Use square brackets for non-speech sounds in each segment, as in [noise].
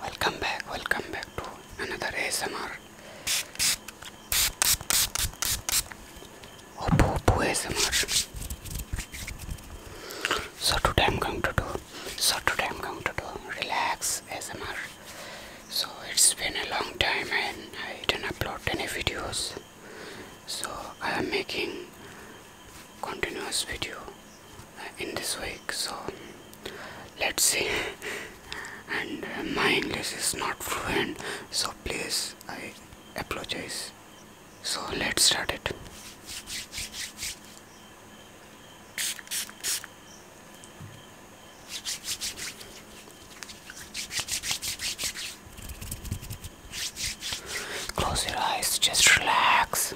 Welcome back, welcome back to another ASMR. Oppo, oh, Oppo ASMR. So today I'm going to do, so today I'm going to do relax ASMR. So it's been a long time and I didn't upload any videos. So I am making continuous video in this week so let's see and uh, my english is not fluent so please i apologize so let's start it close your eyes just relax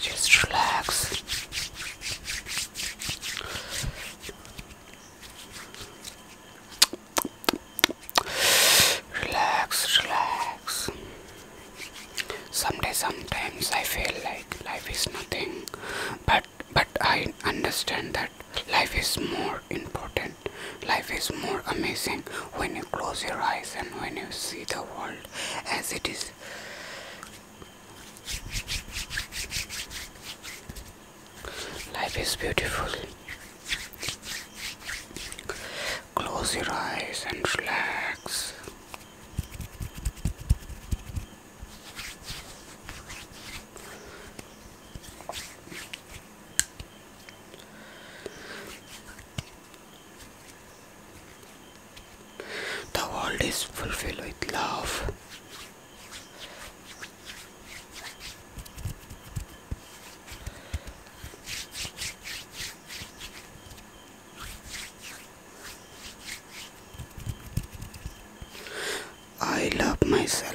just relax. Relax, relax. Someday, sometimes I feel like life is nothing, but but I understand that life is more important. Life is more amazing when you close your eyes and when you see the world as it is Life is beautiful. Close your eyes and relax. The world is fulfilled with love. I love myself.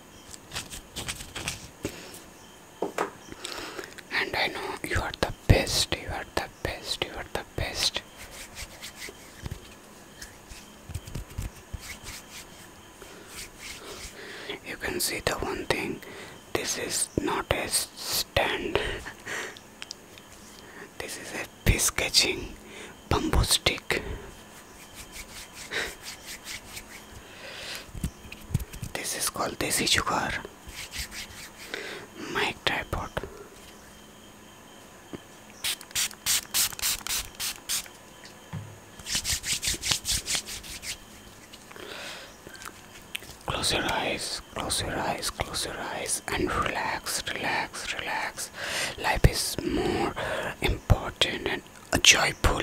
And I know you are the best, you are the best, you are the best. You can see the one thing this is not a stand, this is a fish catching bamboo stick this is called desi sugar my tripod close your eyes close your eyes close your eyes and relax relax relax life is more important and joyful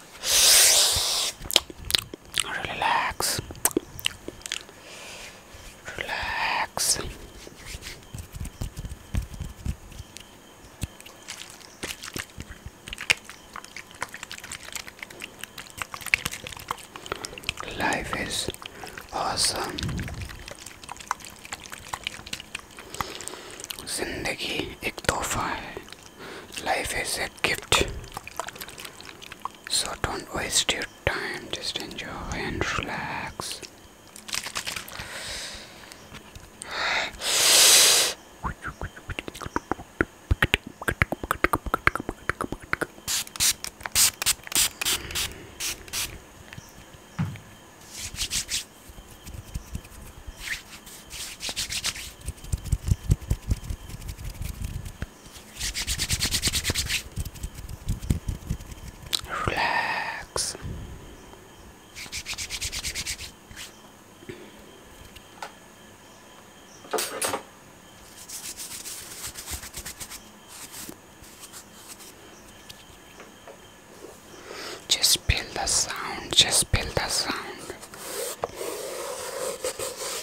Relax. Relax. Life is awesome. जिंदगी एक तोहफा है life is a gift so don't waste your time just enjoy and relax Relax. Just build the sound, just build the sound.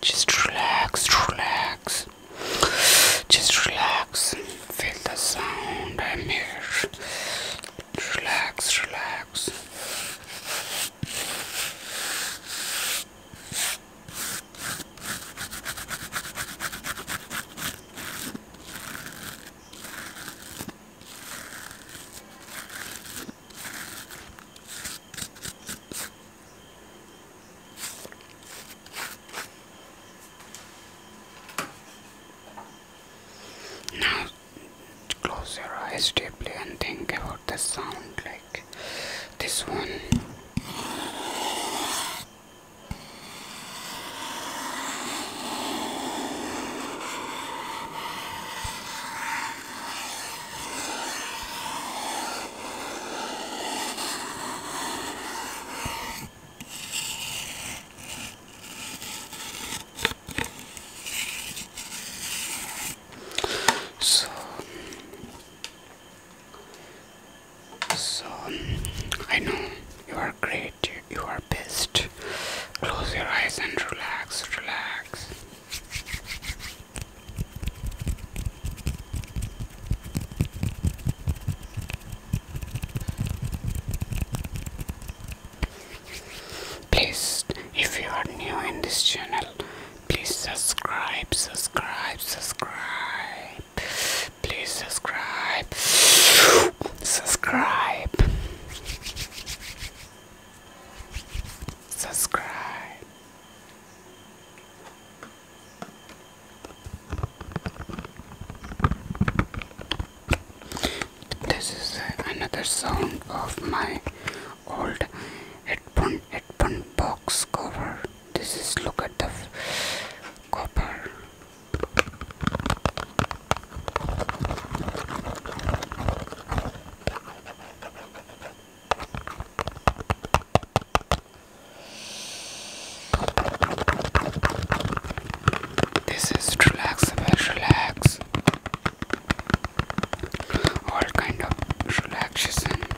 Just relax, relax. Just relax. Feel the sound I'm here. Relax, relax. Now close your eyes deeply and think about the sound like this one. So, so I know you are great, you are best. Close your eyes and relax, relax. Please, if you are new in this channel, please subscribe, subscribe, subscribe. Please subscribe, subscribe subscribe. This is another sound of my old headphone headphone box cover. This is look at the copper. This is relaxable, relax. All kind of relaxation.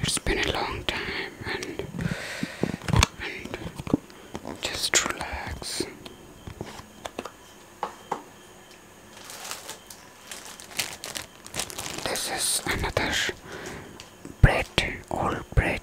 It's been a long time and just relax. This is another bread, old bread.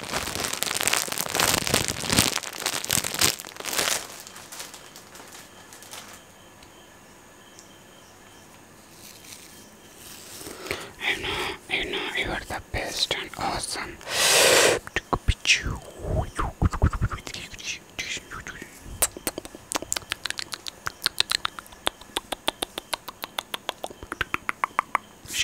I know, you know, you are the best and awesome.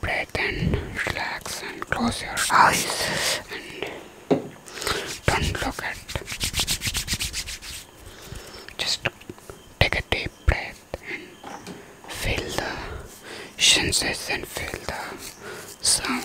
Breathe breath and relax and close your eyes and don't look at just take a deep breath and feel the sensation feel the sound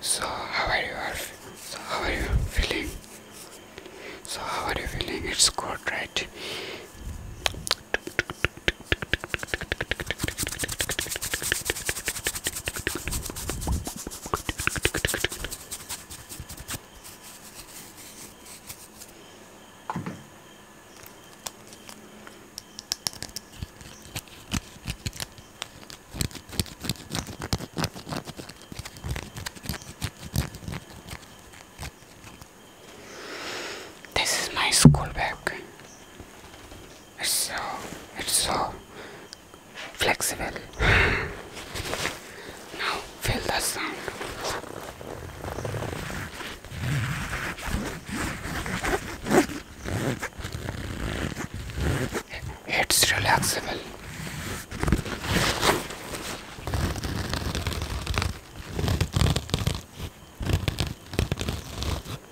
So how are you? So how are you feeling? So how are you feeling? It's good, right? This is my school bag. It's so, it's so flexible. [sighs] now feel the sound. It's relaxable.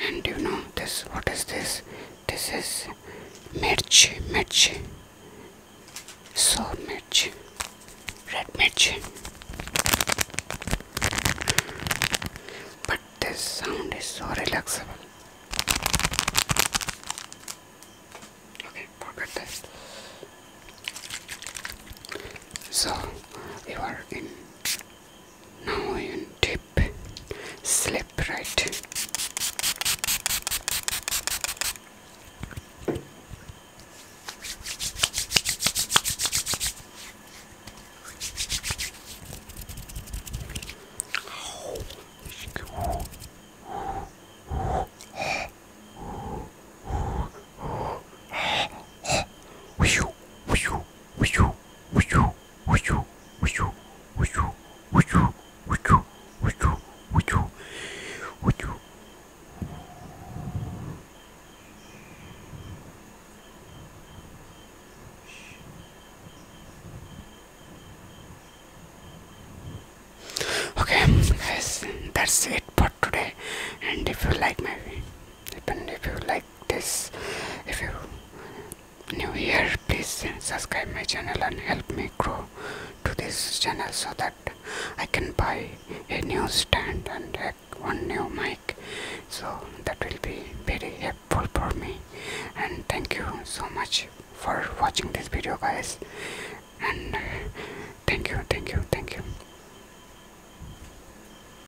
and you know this what is this this is mirch mirch so mirch red mirch but this sound is so relaxing. okay forget this so you are in now you dip slip right okay guys that's it for today and if you like my depend if you like this if you new here please subscribe my channel and help me grow to this channel so that i can buy a new stand and one new mic so that will be very helpful for me and thank you so much for watching this video guys and uh, thank you thank you thank you